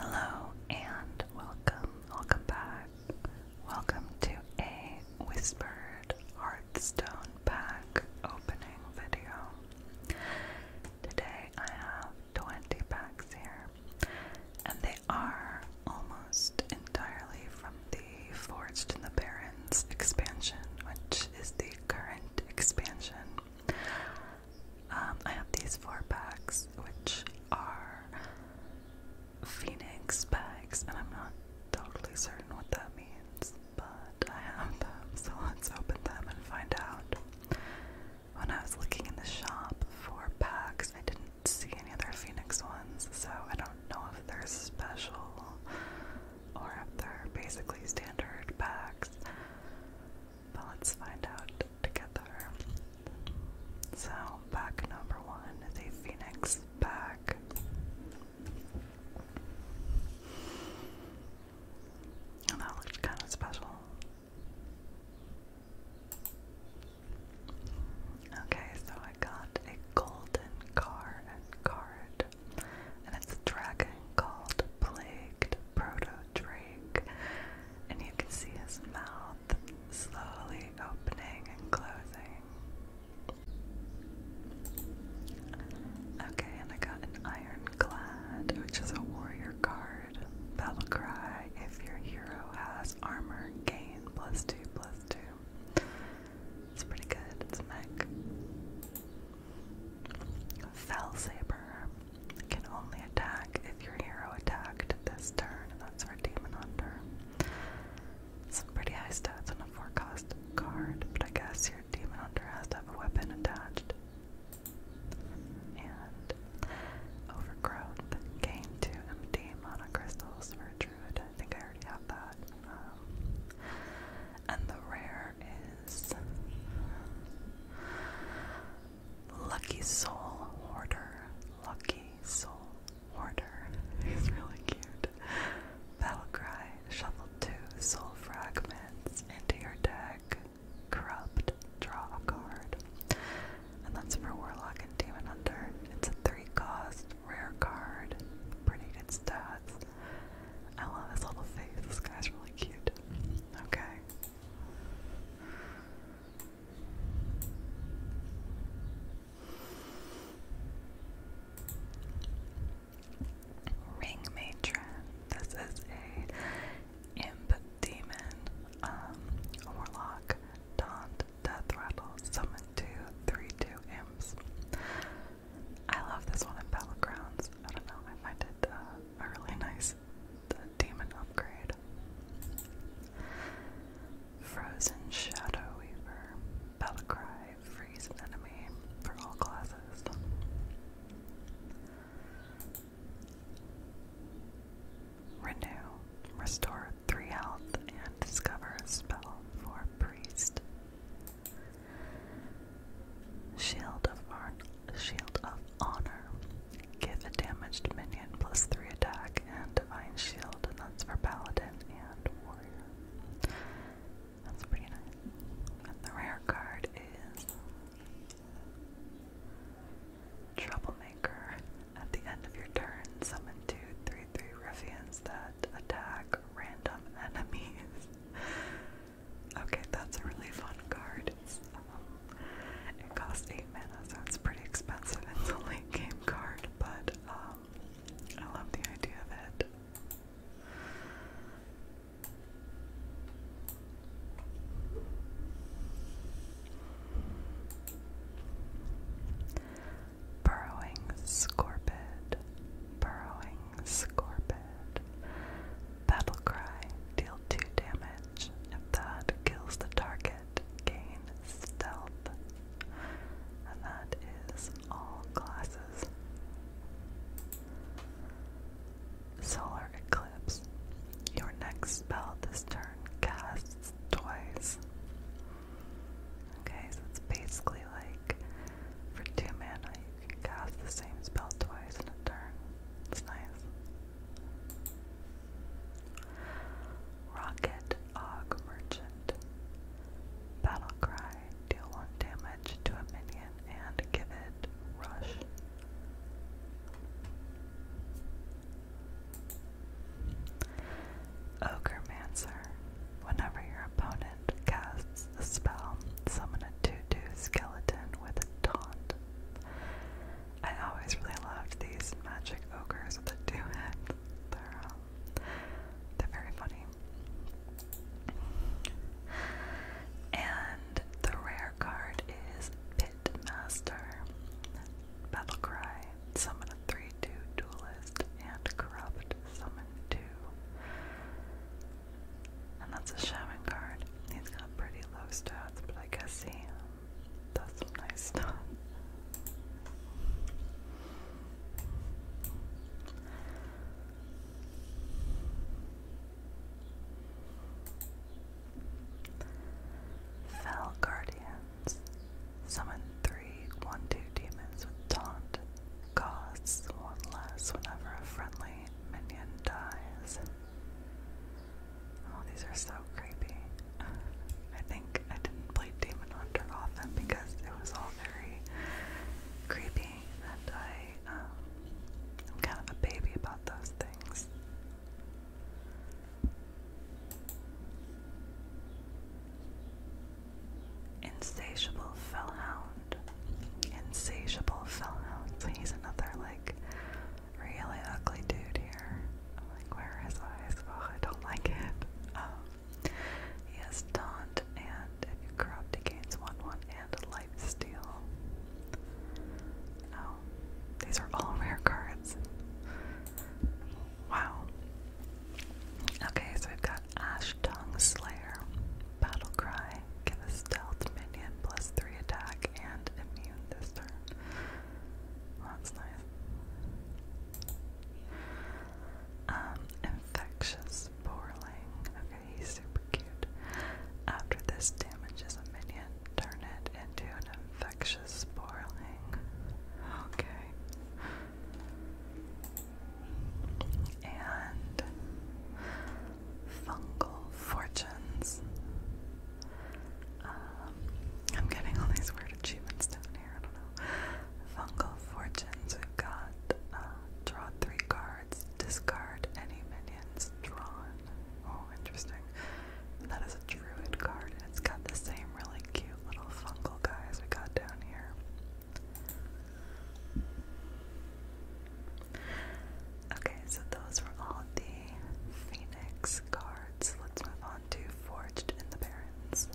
Hello and welcome, welcome back. Welcome to a Whispered Hearthstone pack opening video. Today I have 20 packs here, and are almost entirely from the Forged in the Barrens expansion, which is the current expansion. Um, I have these four packs, which are Phoenix packs, and I'm not totally certain what that means, but I have them, so let's open them and find out. When I was looking in the shop for packs, I didn't did see any other Phoenix ones, so I don't know if they're special or if they're basically standard packs. But let's find out together. So, back number one is a Phoenix pack. And that looked kind of special. Okay, so I got a golden car and card, and it's a dragon called Plagued Proto Drake, and you can see his mouth slowly opening and closing. Okay, and I got an Ironclad, which is a warrior card. Battle if your hero has armor, gain plus two plus two. It's pretty good. It's a mech. Fell Saber can only attack if your hero attacked this turn. and That's our Demon Hunter. Some pretty high stats on a four cost card, but I guess your Demon Hunter has to have a weapon attached. And Overgrowth gain two MD monocrystals for a Druid I think I already have that. Um, and the rare is Lucky Soul Hoarder. Lucky Soul Hoarder. He's really cute. Battle Cry, Shuffle 2, Soul Fragments into your deck. Corrupt, draw a card. And that's for Warlock and Demon Hunter. It's a 3 cost Rare card. Pretty good stats. I love his little face. This guy's really cute. Okay. Ring Matron. This is a imp demon, um, warlock, daunt, Death Rattle Summon 2, 3, 2 Imps. I love this one in Battlegrounds. I don't know, I find it uh, really nice The uh, demon upgrade. Frozen Shadow Weaver. Battlecry, freeze an enemy for all classes. Renew, restore 3 health discover a spell for a priest. Shield of Ar Shield of Honor. Give a damaged minion plus three attack and divine shield, and that's for paladin and warrior. That's pretty nice. And the rare card is Troublemaker. At the end of your turn, summon two, three, three ruffians that attack random enemies. Okay, that's a really fun card. Um, it costs 8 mana, so it's pretty expensive. It's a late game card, but um, I love the idea of it burrowing scorpion. burrowing scorpid. Battle cry, deal 2 damage. If that kills the target, gain stealth. And that is all classes. Solar Eclipse. Your next spell this turn casts twice. Okay, so it's basically like for two mana you can cast the same spell twice in a turn. It's nice. Rocket Og Merchant. Battle Deal one damage to a minion and give it rush. Ogremancer. Whenever your opponent casts a spell, summon a 2 2 skeleton with a taunt. I always really loved these magic ogres with the 2 head. They're, um, they're very funny. And the rare card is Pitmaster. Battlecry. Summon a 3 2 duelist and corrupt. Summon 2. And that's a shaman card. He's got pretty low stats, but I guess he um, does some nice stuff. Fell Guardians. Summon three one-two demons with taunt. Costs one less whenever a friendly minion dies. Oh, these are so creepy. I think I didn't play Demon Hunter often because it was all very creepy, and um, I'm kind of a baby about those things. Insatiable Fellhound. Insatiable Fellhound. So he's another, like, really ugly dude here. i like, where are his eyes? Oh, I don't like it. Um, he has Taunt and if corrupt, gains 1 1 and Life Steal. Oh, these are all rare cards. Wow. Okay, so we've got Ash Tongue Slayer, Battle Cry, give a stealth minion plus 3 attack and immune this turn. Well, that's nice. Um, infectious Borling. Okay, he's super cute. After this damages a minion, turn it into an infectious spoiling. Okay and fungal fortunes. Um, I'm getting all these weird achievements down here. I don't know. Fungal fortunes. We've got uh, draw three cards, discard any minions drawn. Oh, interesting. That is a druid card, and it's got the same really cute little fungal guys we got down here. Okay, so those were all the Phoenix cards. Let's move on to Forged in the Barrens.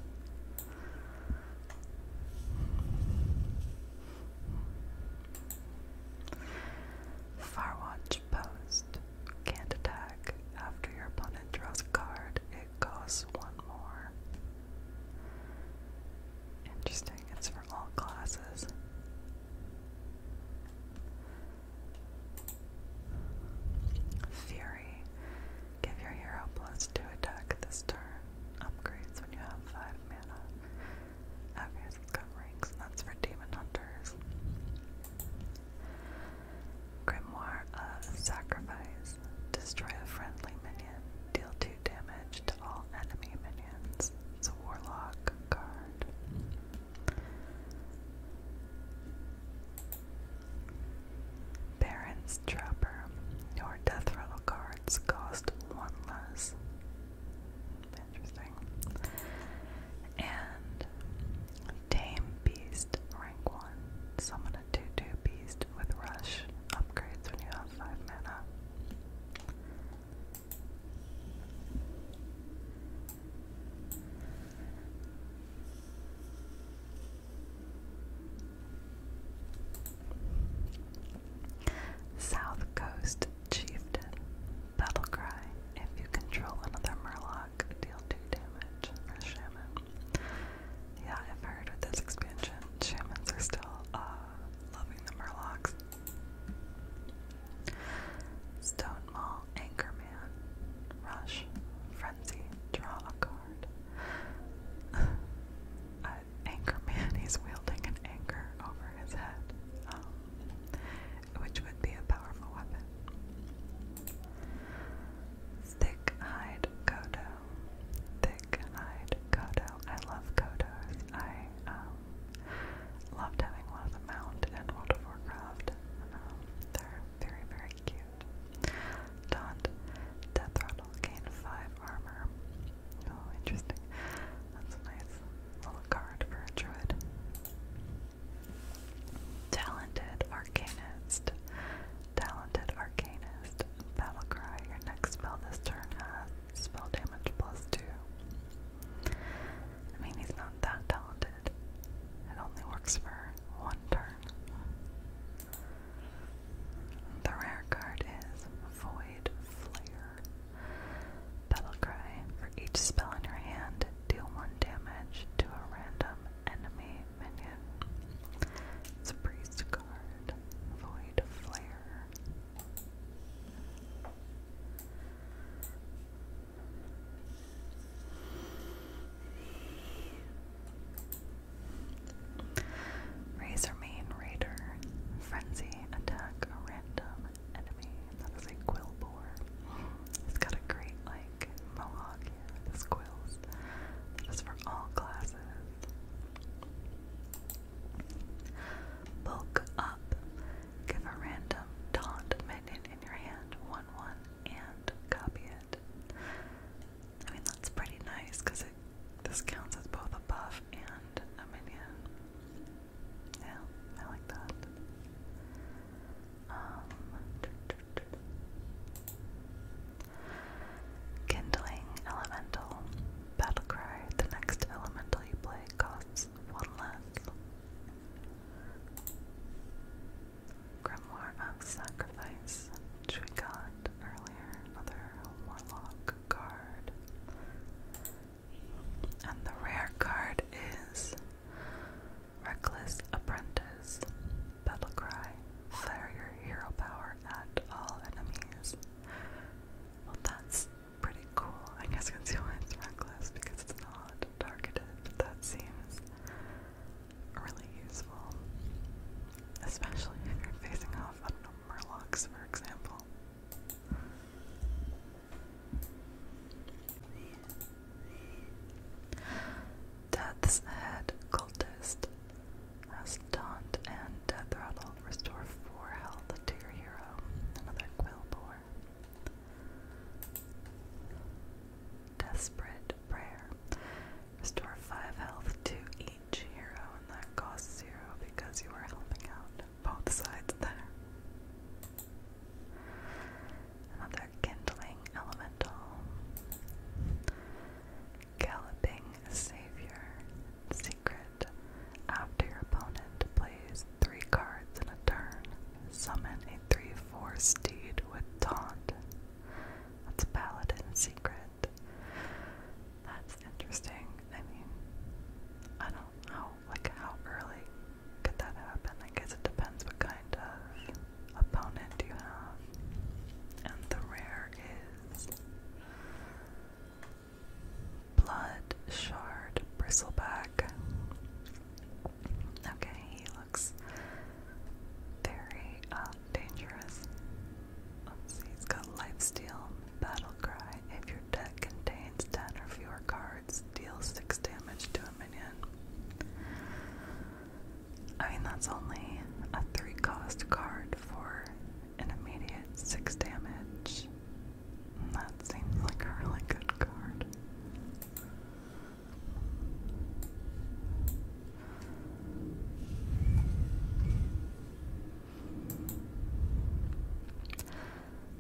Firewatch Post can't attack after your opponent draws a card, it costs one more. Interesting, it's for all classes. Fury. Give your hero plus two attack this turn. Upgrades when you have five mana. Okay, it's got ranks, that's for demon hunters. Grimoire Sacrifice. Destroy a friendly minion Deal 2 damage to all enemy minions. It's a warlock card. Baron's Trapper. Your death cards cost one less. Interesting. And Tame Beast, rank 1. Summon 2-2 beast with rush upgrades when you have 5 mana. South Coast Chieftain Battle Cry. If you control another Murloc, deal 2 damage Shaman. Yeah, I've heard with this expansion, shamans are still uh, loving the murlocs. Stone Mall, Anchorman, Rush, Frenzy, draw a card. uh, Anchorman, he's wielding an anchor over his head, um, which would be a powerful weapon. Stick, hide, Goda, Thick-eyed Kodo. I love Kodos. I um, love having one of the out and World of Warcraft. Um, they're very, very cute. Daunt. Death Gain 5 armor. Oh, interesting. That's a nice little card for a druid. Talented Arcanist. Talented Arcanist. Battlecry. Your next spell this turn has spell damage plus two. I mean, he's not that talented. It only works for one turn. The rare card is Void Flare. Battlecry. For each spell in your hand, deal one damage to a random enemy minion. It's a priest card. Void Flare. Razor Mane Raider. Frenzy attack a random enemy. That is a quill bore. It's got a great like mohawk here quills. That is for all classes listen. Bulk up. Give a random taunt minion in your hand, 1-1, one, one, and copy it. I mean, that's pretty nice, because this counts as both a buff and a minion. Yeah, I like that. Um, Kindling Elemental. Battlecry, the next elemental you play costs one less. Grimoire of Sacrifice, which we got earlier, another Warlock card. And the rare card is Reckless Apprentice battle cry. Fire your hero power at all enemies. Well, that's pretty cool. I guess I it's reckless because it's not targeted. That seems really useful, especially if you're facing off, I don't know, for example. Death's Head Cultist. Restant and Death Rattle restore 4 health to your hero. Another Quillbore. Desperate Prayer. Restore 5 health to each hero, and that costs 0 because you are helping out both sides there. Another Kindling Elemental. Galloping Savior. Secret. After your opponent plays three cards in a turn, summon a 3 4 steed with taunt. That's Paladin Secret. That's interesting. I mean, I don't know, like, how early could that happen? I guess it depends what kind of opponent you have. And the rare is Blood shard bristleback. Okay, he looks very um, dangerous. he's got lifesteal, battle cry. If your deck contains 10 or fewer cards, deal 6 damage to a minion. I mean, that's only a three cost card for an immediate six damage. That seems like a really good card.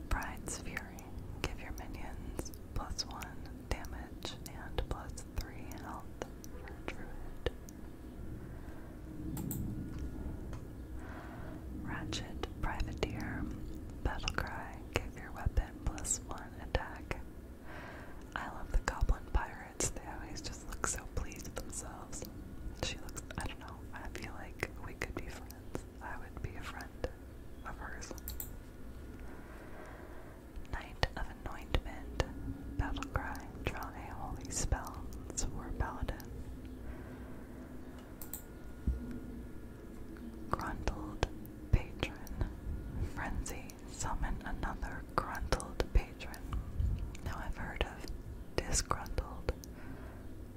Bride's Fury. Give your minions plus one damage and plus three health Druid. Ratchet Privateer Battlecry give your weapon plus one attack. I love the goblin pirates, they always just look so pleased with themselves. She looks I don't know, I feel like we could be friends. I would be a friend of hers. Knight anointment, battle cry, draw a holy spell, it's for paladin. Gruntled patron, frenzy, summon another gruntled patron. Now I've heard of disgruntled,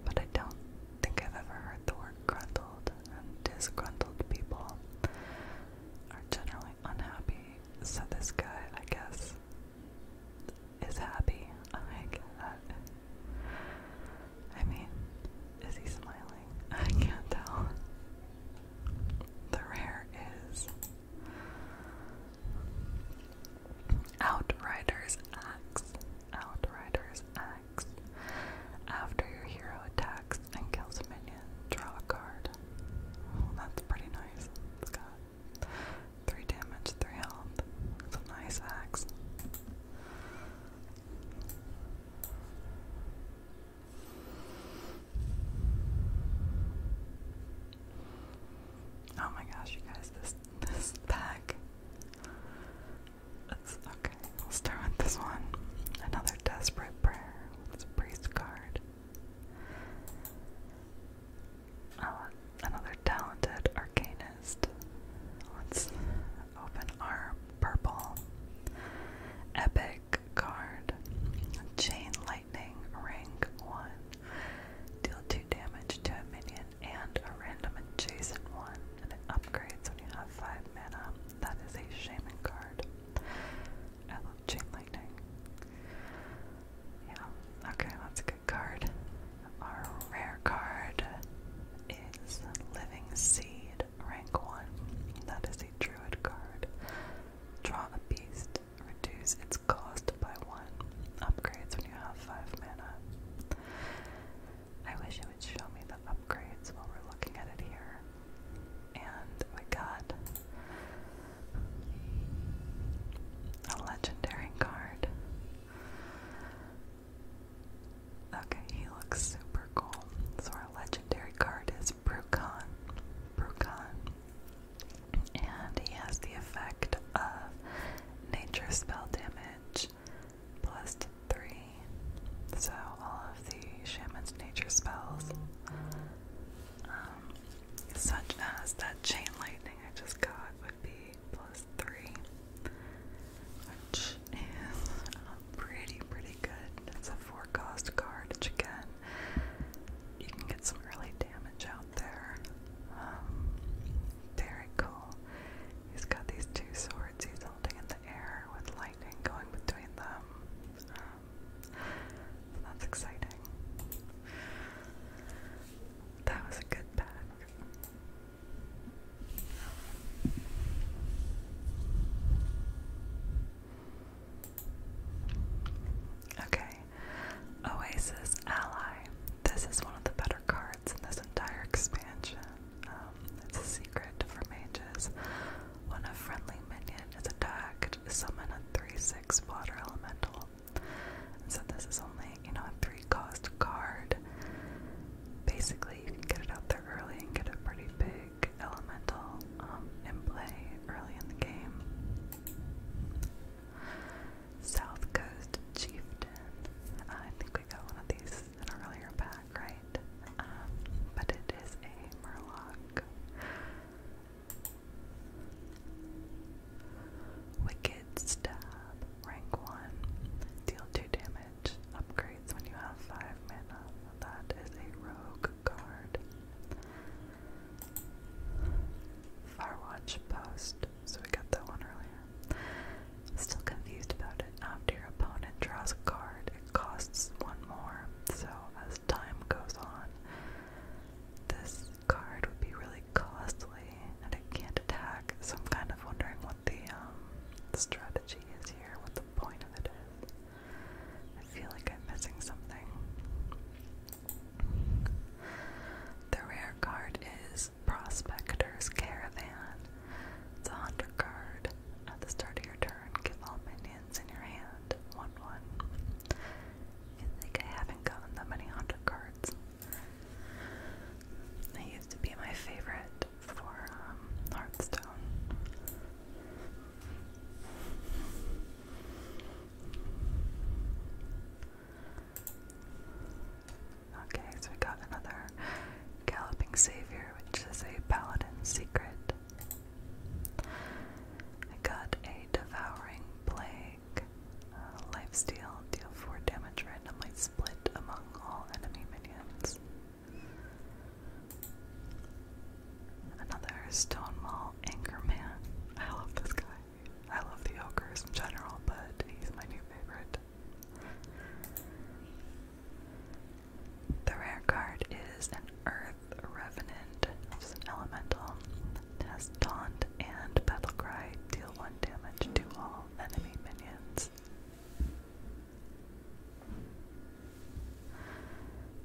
but I don't think I've ever heard the word gruntled, and disgruntled people are generally unhappy. So, this guy, I guess, is happy. Oh my god. I mean, is he smiling? I can't tell. The rare is Outrider's Axe. Outrider's Axe. After your hero attacks and kills a minion, draw a card. that's pretty nice. it Three damage, three health. It's a nice axe. Oh my gosh, you guys, this this pack. okay. We'll start with this one. Another desperate prayer. It's a priest card. Oh, another talented arcanist. Let's open our purple epic card. Chain Lightning Rank 1. Deal 2 damage to a minion and a random adjacent one. upgrades when you have 5 mana. That is a shaman card. I love Chain Lightning. Yeah, okay, that's a good card. Our rare card is Living Seed, rank 1. That is a druid card. Draw a beast, reduce its cost by 1. Upgrades when you have 5 mana. I wish it would show me the upgrades while we're looking at it here. And we got a legendary card. Okay, he looks super cool. So our legendary card is Brucon. Brucon. And he has the effect of nature spell damage plus three. So all of the shaman's nature spells um, such as that chain lightning I just got would be plus three, which is uh, pretty, pretty good. It's a four card, again, you can get some early damage out there. Um, very cool. He's got these two swords he's holding in the air with lightning going between them. Um, that's exciting. That was a good pack. Okay, Oasis Ally. This is one of the better cards in this entire expansion. Um, it's a secret for mages. When a friendly minion is attacked, summon a 3 6 water elemental. So this is only, you know, a three-cost card. Basically, you can get it out there early and get a pretty big elemental um, in play early in the game. South Coast Chieftain. I think we got one of these in an earlier pack, right? Um, but it is a Murloc. Wicked Stab, rank 1. Deal 2 damage. Upgrades when you have 5 mana. That is a rogue card. Firewatch Post, so we got that one earlier. Still confused about it. After your opponent draws a card, it costs one more. So as time goes on, this card would be really costly and it can't attack, so I'm kind of wondering what um, the strategy is here, what the point of it is. I feel like I'm missing something. The rare card is Prospector's Caravan. It's a hunter card. At the start of your turn, give all minions in your hand 1 1. I think I haven't gotten that many Honda cards. They used to be my favorite for um, Hearthstone. Okay, so we got another Galloping Savior, which is a Paladin Secret. I got a Devouring Blade make uh, lifesteal, deal 4 damage randomly split among all enemy minions. Another Stonewall Anchorman. I love this guy. I love the ogres in general, but he's my new favorite. The rare card is an Earth Revenant, which an elemental has Taunt and Battlecry deal 1 damage to all enemy minions.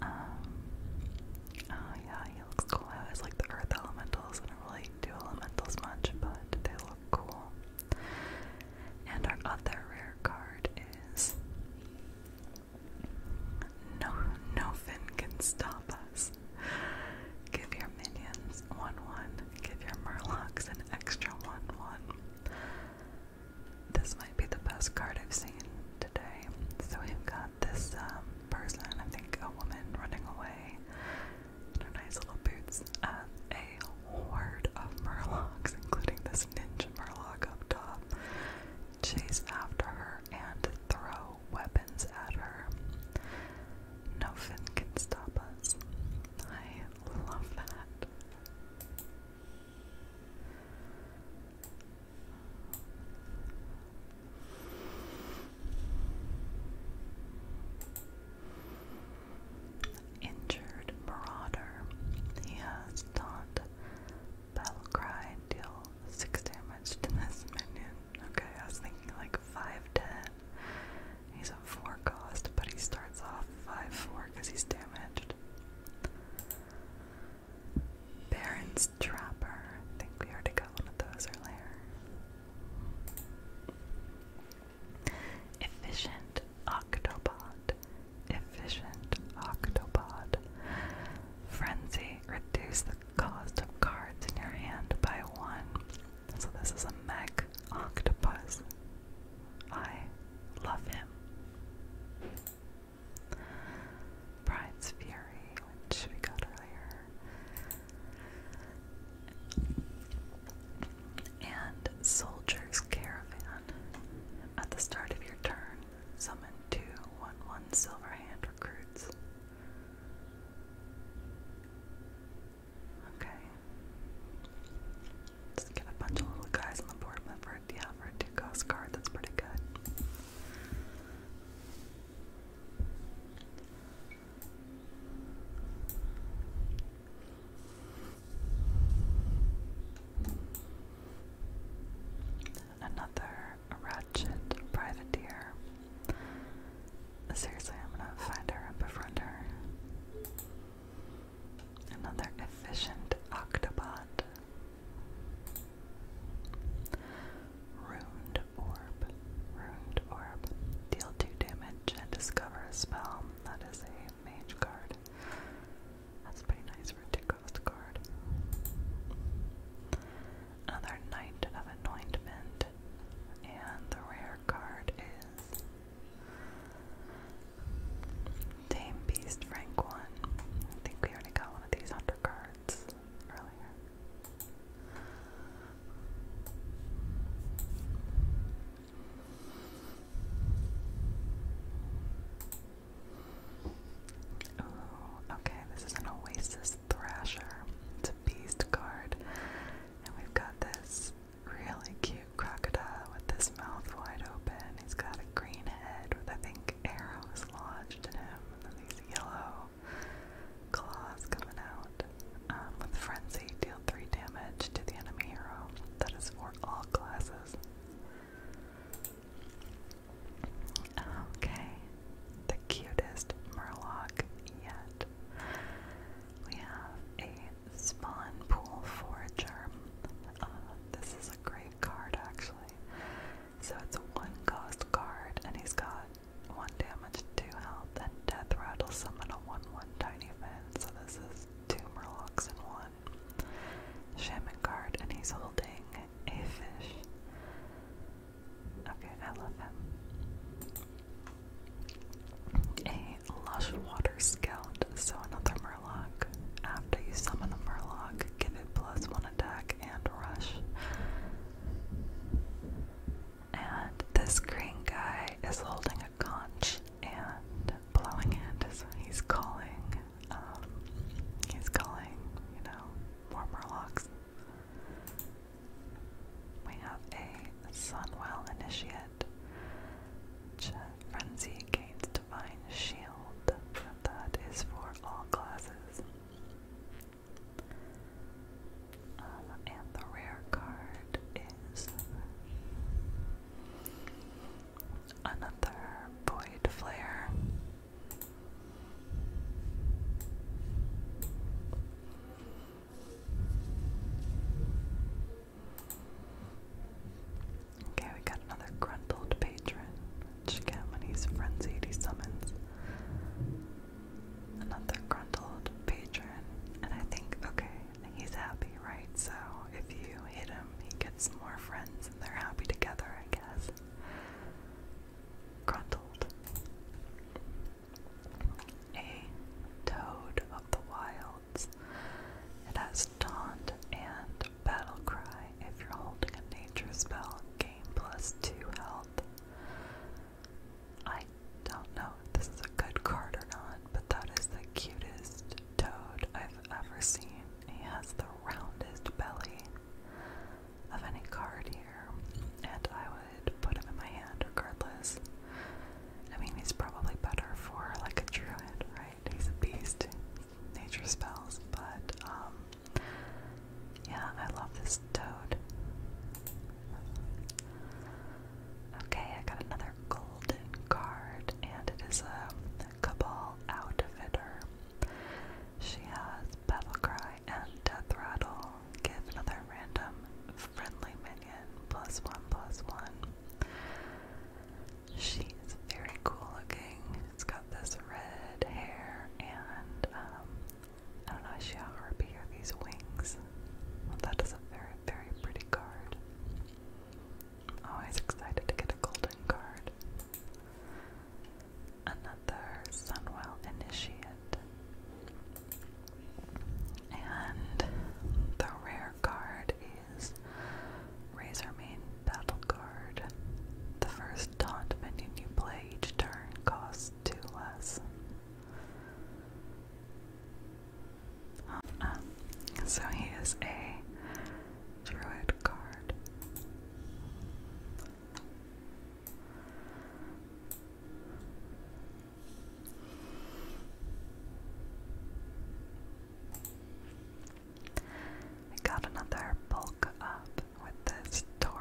Um, oh yeah, he looks cool. I always like the earth elementals. I really do elementals much, but they look cool. And our other rare card is No No Fin Can Stop Give your minions 1-1. Give your murlocs an extra 1-1. This might be the best card I've seen today. So we've got this um, person, I think a woman, running away in nice little boots and a horde of murlocs, including this ninja murloc up top. Chase after her and throw weapons at her. Nothing can stop us. I love that. Injured Marauder. He has taunt Battlecry deal six damage to this minion. Okay, I was thinking like 5'10. He's a 4 cost, but he starts off 5'4 because he's damaged. Baron's Trapper. I think we already got one of those earlier. Efficient Octopod. Efficient Octopod. Frenzy. Reduce the cost of cards in your hand by one. So this is a mech octopus. I love him. Bride's Fury, which we got earlier. And Soldier's Caravan. At the start of your turn, summon two one one silver hand recruits. Okay. Just get a bunch of little guys on the board, but for a, yeah, for a two card, that's pretty good. Another a ratchet deer. Seriously, I'm gonna find her and befriend her. Another efficient octobot. Ruined orb. Ruined orb. Deal 2 damage and discover a spell. That is a mage card. That's pretty nice for a 2 cost card another Knight of Anointment, and the rare card is Dame Beast Rank 1. I think we already got one of these Hunter cards earlier. Ooh, okay, this is an Oasis Thrasher. It's a beast card. And we've got this really cute crocodile with his mouth wide open. He's got a green head with I think arrows lodged in him. And these yellow claws coming out. Um, with frenzy, deal three damage to the enemy hero. That is for all classes. Okay, the cutest murloc yet. We have a spawn pool forager. Uh, this is a great card actually. So it's a one cost card and he's got one damage, two health, and death rattle summon a one one tiny fin. So this is two murlocs in one. Shaman card and he's holding a fish. Okay, I love him. A lush water scout, so another murloc. After you summon a murloc, give it plus one attack and rush. And this green guy is holding a conch and blowing it is he's calling. Um, he's calling, you know, more murlocs. We have a Sunwell Initiate. Uh, frenzy gains Divine Shield. that is for all classes. Um, and the rare card is another Void Flare. Okay, we got another gruntled patron, which Gamini's frenzied he summons. Another gruntled patron, and I think, okay, he's happy, right? So if you hit him, he gets more friends and they're happy together, I guess. Gruntled a toad of the wilds. It has taunt and battle cry if you're holding a nature spell, gain plus two health. I don't know if this is a good card or not, but that is the cutest toad I've ever seen. He has the roundest belly of any card here, and I would put him in my hand regardless. I mean, he's probably better for like a druid, right? He's a beast, nature spells, but um, yeah, I love this toad. Okay, I got another golden card, and it is a Cabal Outfitter. She has Battle and Death uh, Rattle, give another random friendly minion plus one plus one. She is very cool looking. It's got this red hair and um, I don't know, she a harpy or these wings? that is a very, very pretty card. always excited to get a golden card. Another Sunwell Initiate. And the rare card is Razormane Battle Card. The first taunt minion you play each turn costs two less. Um, so he is a druid card. We got another bulk up with this Torin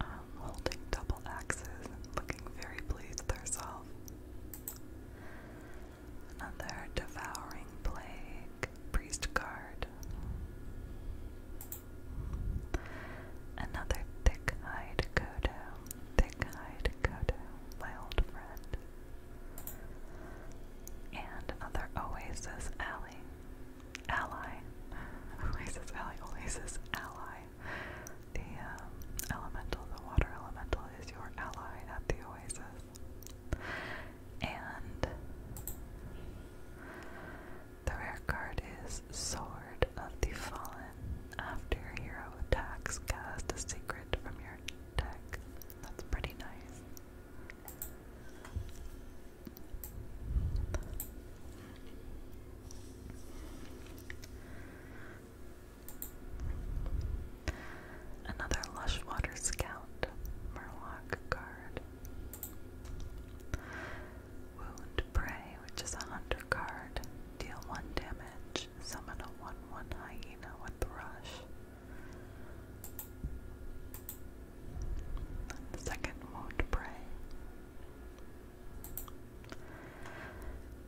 um, holding double axes and looking very pleased with herself. Another devouring plague priest card. Another thick eyed Kodo, thick eyed Kodo, my old friend. And another Oasis Alley. Ally. Oasis Alley, Oasis Ally. The um, elemental, the water elemental is your ally at the Oasis. And the rare card is Sword of the Fallen. After your hero attacks, cast a secret from your deck. That's pretty nice. Another Lush Scout Murloc card. Wound Prey, which is a hunter card. Deal 1 damage. Summon a 1 1 hyena with Rush. second Wound Prey.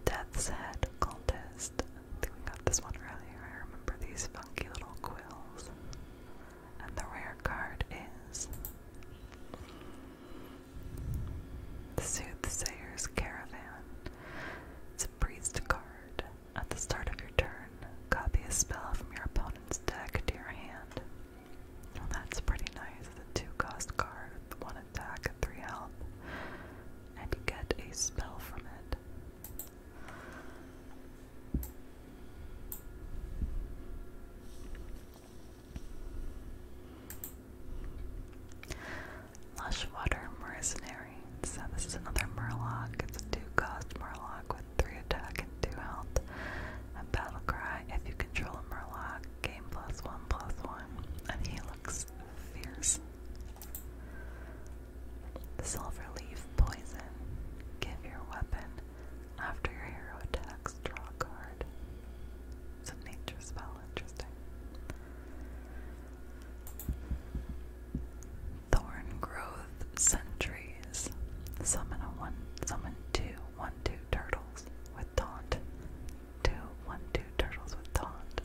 Death's Head Cultist. I think we got this one earlier. I remember these funky little quills. And the rare card is the Soothsayer's Caravan. It's a priest card. At the start of your turn, copy a spell from your opponent's deck to your hand. Well, that's pretty nice. The two cost card with one attack and three health. And you get a spell from it. Lush Mercenary. So this is another Murlock. It's a two-cost Murlock with three attack and two health. A battle cry. If you control a Murlock, game plus one plus one. And he looks fierce. Silver leaf poison. Give your weapon after your hero attacks. Draw a card. It's nature spell, interesting. Thorn growth sentries. Summon a one summon two one two turtles with taunt. Two one two turtles with taunt.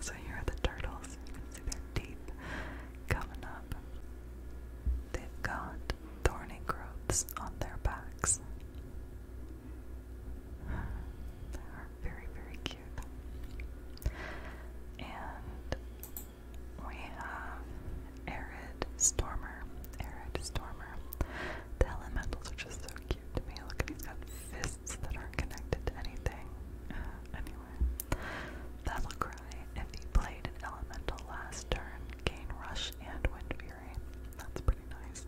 So here are the turtles. You can see their teeth coming up. They've got thorny growths on their backs. They are very, very cute. And we have Arid Stormer. Arid Stormer. The elementals are just so cute to me. Look he's got fists that aren't connected to anything. Uh, anyway. Battlecry. If he played an elemental last turn, gain rush and wind that's pretty nice.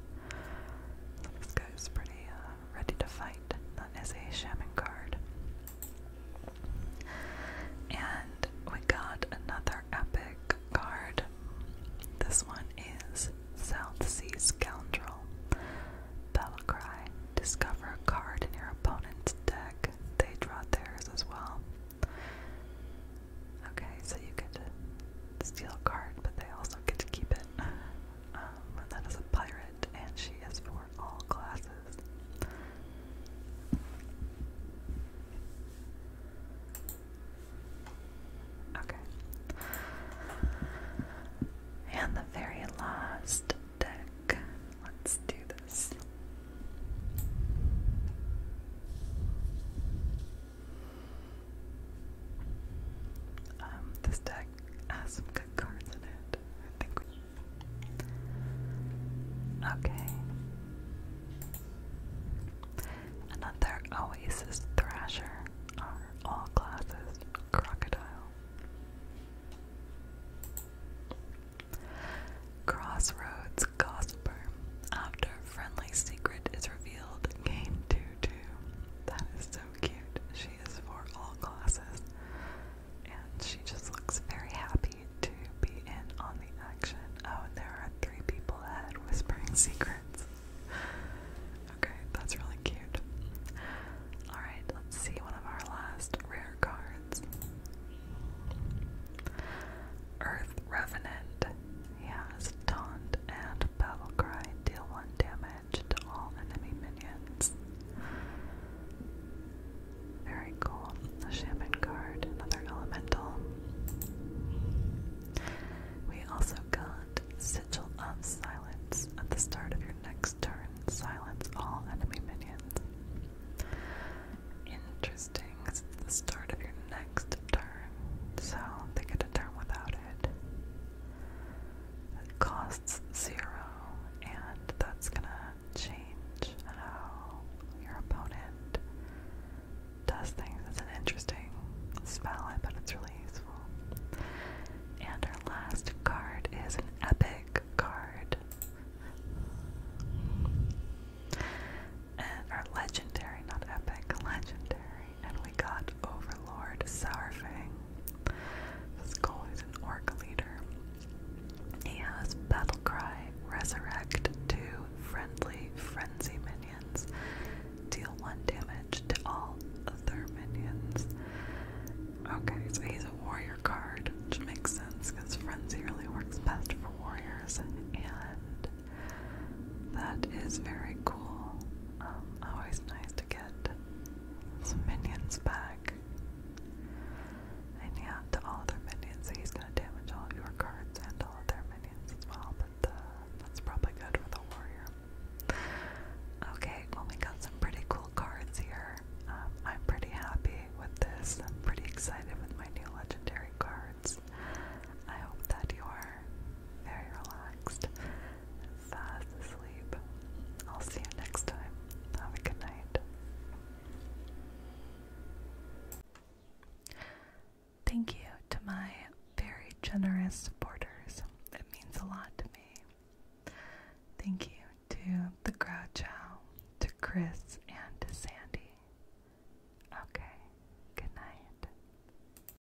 this guy's pretty uh, ready to fight. That is a shaman card. And we got another epic card. This one is South Sea Scoundrel. Battle Discover a card in your opponent's deck. They draw theirs as well. Okay, so you get to steal a card, but they also get to keep Pippin. Um, that is a pirate, and she is for all classes. Okay. And the very last deck. Let's do this. Um, this deck has some good cards in it. I think Okay. Another Oasis Thrasher all classes crocodile. Crossroads Gossiper. After friendly secret is revealed. Game 2 2. That is so cute. She is for all classes. And she just looks very happy to be in on the action. Oh, and there are three people ahead whispering secrets. Okay, that's really cute. Alright, let's see one of our last rare cards Earth Revenant. Yes, Taunt and Battle Cry deal 1 damage to all enemy minions. Very cool. Shaman card, another elemental. We also got Sigil of Silence. At the start of your next turn, silence all enemy minions. Interesting, it's the start of your next turn, so they get a turn without it. It costs zero, and that's gonna change how your opponent does things. It's an interesting spell, I bet it's really useful. And our last card is an epic card. And our legendary, not epic, legendary and we got Overlord Sourfang. This goal is an orc leader. He has Battle Cry, Resurrect 2 friendly frenzy minions. Deal 1 damage to all other minions. Okay, so he's a warrior card, which makes sense because frenzy really works best for warriors. And that is very cool. Um, always nice to get some minions back. And yeah, to all of minions, he's gonna damage all your cards and all of their minions as well, but uh, that's probably good for the warrior. Okay, well we got some pretty cool cards here. Um, I'm pretty happy with this. I'm pretty excited with my new legendary cards. I hope that you are very relaxed fast asleep. I'll see you next time. Have a good night. Thank you to my very generous supporters. It means a lot to me. Thank you to the Grouchow, to Chris, and Sandy. Okay, good night.